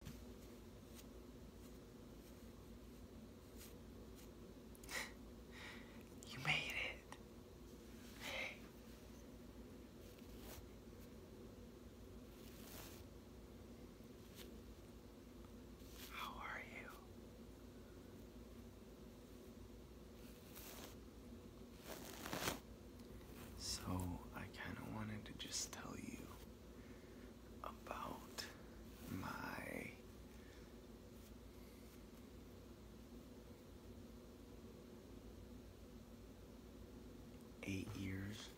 you made it. Hey. How are you? So, I kind of wanted to just tell you about my eight years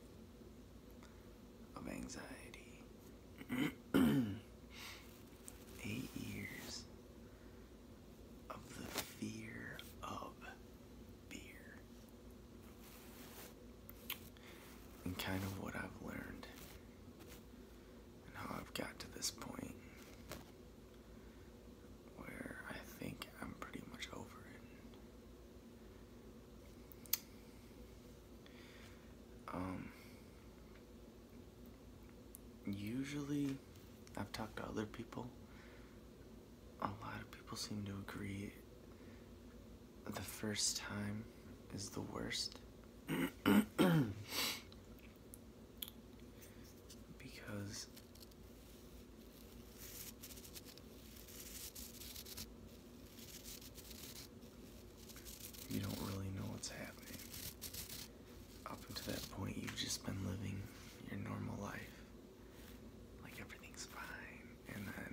of anxiety. eight years of the fear of beer. And kind of what I've learned and how I've got to this point where I think I'm pretty much over it. Um, usually, I've talked to other people a lot of people seem to agree the first time is the worst. because you don't really know what's happening. Up until that point, you've just been living your normal life like everything's fine, and then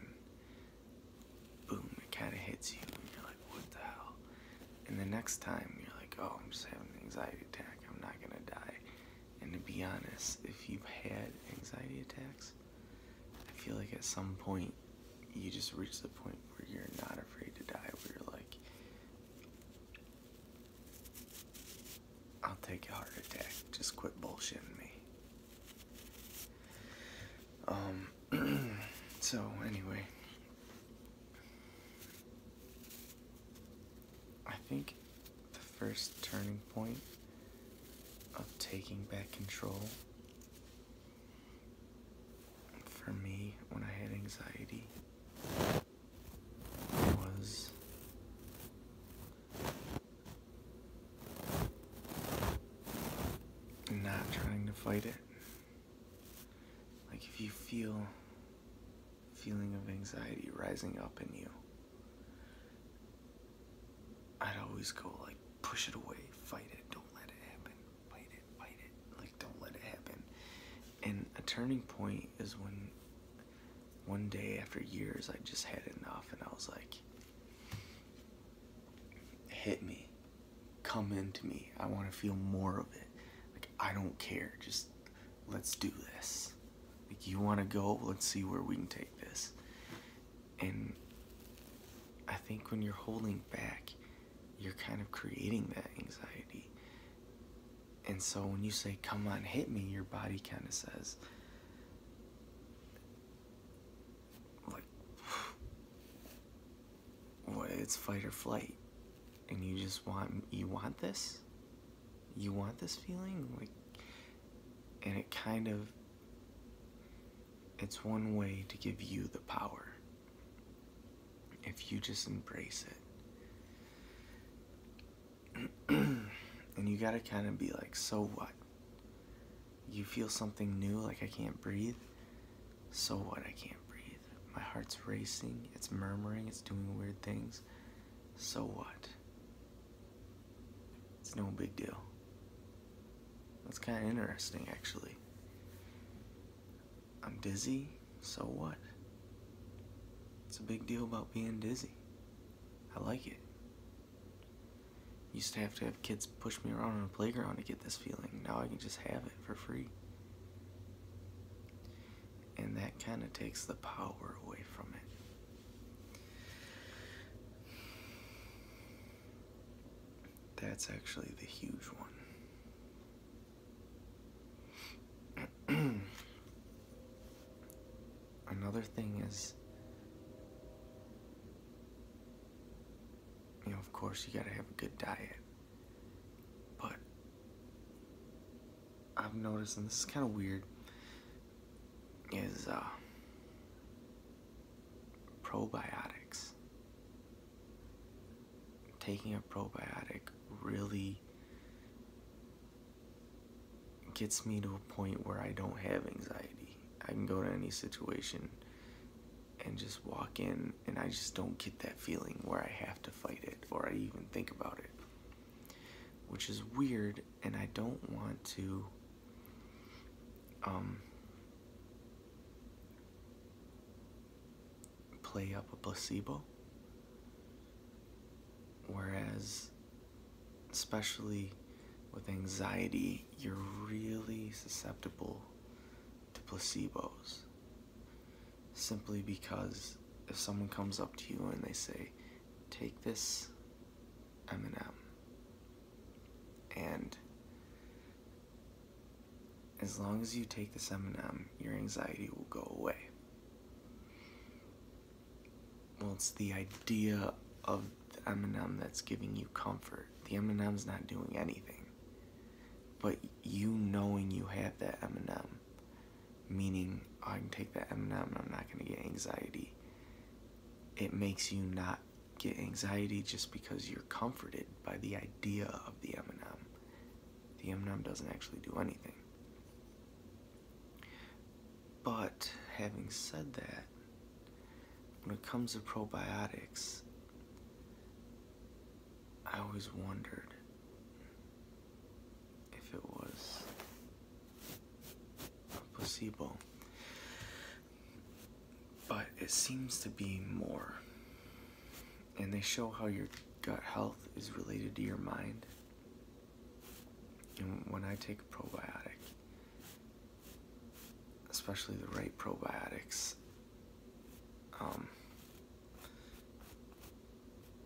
boom, it kind of hits you, and you're like, what the hell? And the next time, you're like, oh, I'm just having an anxiety attack, I'm not gonna die. And to be honest, if you've had anxiety attacks, I feel like at some point you just reach the point where you're not afraid to die, where you're like, I'll take a heart attack. Just quit bullshitting me. Um, so anyway, I think the first turning point of taking back control for me when I had anxiety was not trying to fight it. Like if you feel feeling of anxiety rising up in you, I'd always go like push it away, fight it, don't let it happen, fight it, fight it, like don't let it happen. And a turning point is when one day after years, I just had enough, and I was like, hit me, come into me. I want to feel more of it. Like, I don't care. Just let's do this. Like, you want to go? Let's see where we can take this. And I think when you're holding back, you're kind of creating that anxiety. And so when you say, come on, hit me, your body kind of says, like, it's fight or flight. And you just want, you want this? You want this feeling? Like, and it kind of, it's one way to give you the power if you just embrace it. and you gotta kind of be like, so what? You feel something new, like I can't breathe? So what? I can't breathe. My heart's racing, it's murmuring, it's doing weird things. So what? It's no big deal. That's kind of interesting, actually. I'm dizzy, so what? It's a big deal about being dizzy. I like it. Used to have to have kids push me around on a playground to get this feeling. Now I can just have it for free. And that kind of takes the power away from it. That's actually the huge one. Another thing is, you know, of course, you gotta have a good diet. But I've noticed, and this is kind of weird, is uh, probiotics taking a probiotic really gets me to a point where I don't have anxiety. I can go to any situation and just walk in and I just don't get that feeling where I have to fight it or I even think about it. Which is weird and I don't want to um play up a placebo. Whereas, especially with anxiety, you're really susceptible to placebos. Simply because if someone comes up to you and they say, take this M&M and as long as you take this M&M, your anxiety will go away. Well, it's the idea of the M&M that's giving you comfort. The M&M's not doing anything. But you knowing you have that M&M, meaning oh, I can take that M&M and I'm not going to get anxiety, it makes you not get anxiety just because you're comforted by the idea of the M&M. The M&M doesn't actually do anything. But having said that, when it comes to probiotics, I always wondered if it was a placebo but it seems to be more. And they show how your gut health is related to your mind. And when I take probiotic, especially the right probiotics, um,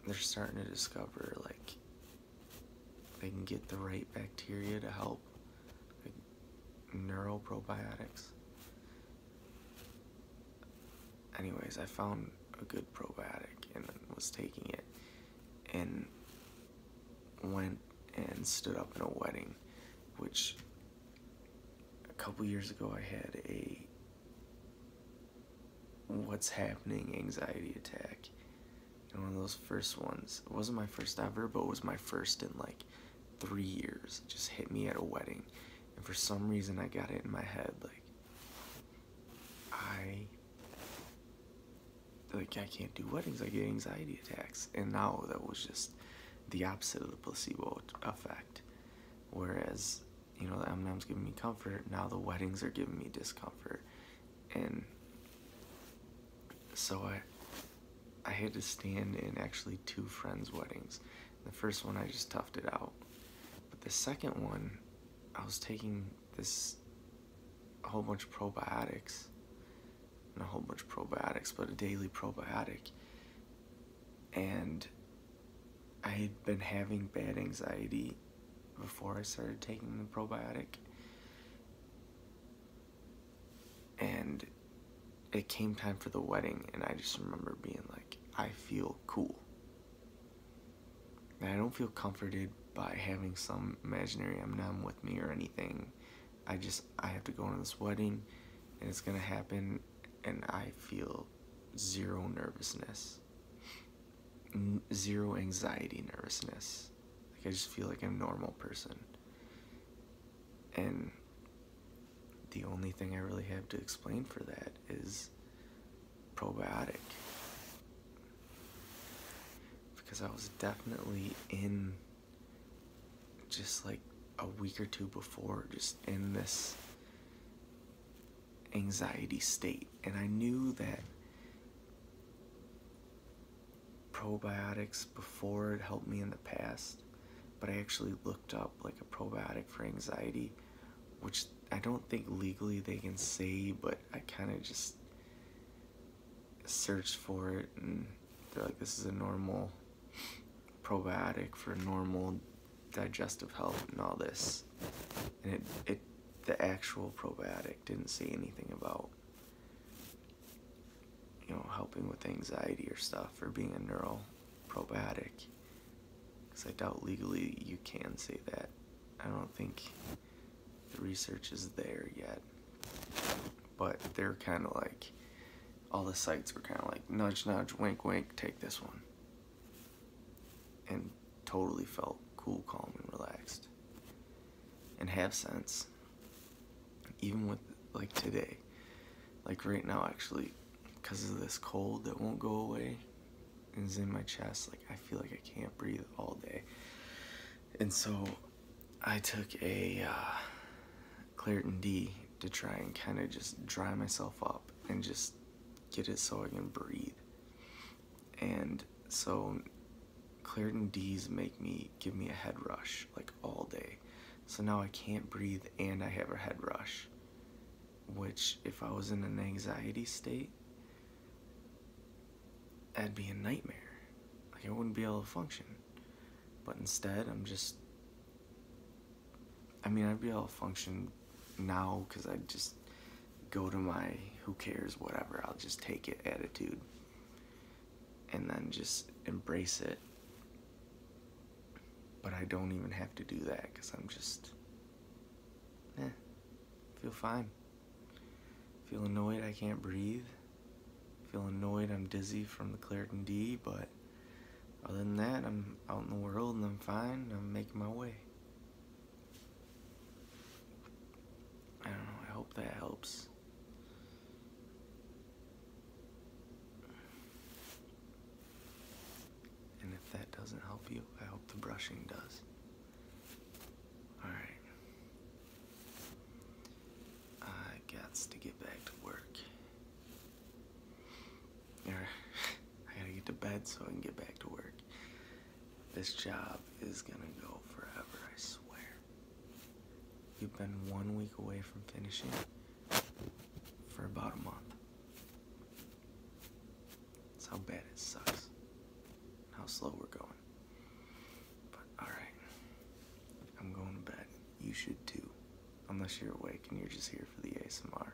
they're starting to discover like they can get the right bacteria to help, neuroprobiotics. Anyways, I found a good probiotic and was taking it and went and stood up in a wedding, which a couple years ago I had a what's happening anxiety attack and one of those first ones. It wasn't my first ever, but it was my first in like three years. It just hit me at a wedding. And for some reason, I got it in my head. Like, I. Like, I can't do weddings. I get anxiety attacks. And now that was just the opposite of the placebo effect. Whereas, you know, the M&M's giving me comfort. Now the weddings are giving me discomfort. And so I I had to stand in actually two friends' weddings. The first one, I just toughed it out. But the second one, I was taking this whole bunch of probiotics, and a whole bunch of probiotics, but a daily probiotic. And I had been having bad anxiety before I started taking the probiotic. And it came time for the wedding, and I just remember being like, I feel cool. I don't feel comforted by having some imaginary M&M with me or anything. I just, I have to go to this wedding, and it's gonna happen, and I feel zero nervousness, zero anxiety nervousness like I just feel like I'm a normal person. And the only thing I really have to explain for that is probiotic. Because I was definitely in just like a week or two before, just in this anxiety state. And I knew that probiotics before it helped me in the past but I actually looked up like a probiotic for anxiety which I don't think legally they can say but I kind of just searched for it and they're like this is a normal probiotic for normal digestive health and all this and it, it the actual probiotic didn't say anything about you know helping with anxiety or stuff or being a neural probiotic because I doubt legally you can say that. I don't think the research is there yet. But they're kind of like, all the sites were kind of like, nudge, nudge, wink, wink, take this one. And totally felt cool, calm, and relaxed and have sense even with like today like right now actually because of this cold that won't go away is in my chest like i feel like i can't breathe all day and so i took a uh, claritin d to try and kind of just dry myself up and just get it so i can breathe and so Claritin D's make me give me a head rush like all day. So now I can't breathe and I have a head rush. Which, if I was in an anxiety state, that'd be a nightmare. Like, I wouldn't be able to function. But instead, I'm just. I mean, I'd be able to function now because I just go to my who cares, whatever, I'll just take it attitude and then just embrace it. But I don't even have to do that because I'm just, eh, feel fine. Feel annoyed I can't breathe. Feel annoyed I'm dizzy from the Claret and D, but other than that, I'm out in the world and I'm fine. I'm making my way. I don't know, I hope that helps. And if that doesn't help you, I hope the brushing does. Alright. I got to get back to work. Alright. I gotta get to bed so I can get back to work. This job is gonna go forever, I swear. You've been one week away from finishing for about a month. That's how bad it sucks. How slow we're going. But alright. I'm going to bed. You should too. Unless you're awake and you're just here for the ASMR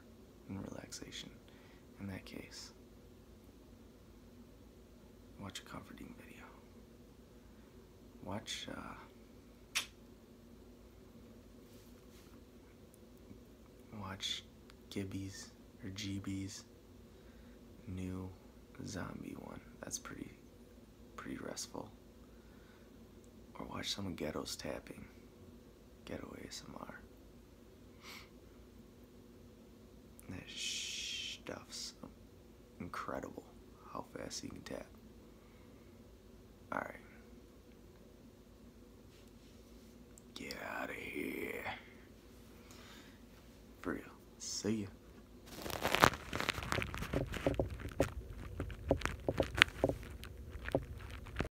and relaxation. In that case, watch a comforting video. Watch, uh, watch Gibby's or GB's new zombie one. That's pretty, pretty restful. Or watch some ghettos tapping. Getaway S.M.R. That stuff's incredible how fast he can tap. Alright. Get out of here. For real. See ya.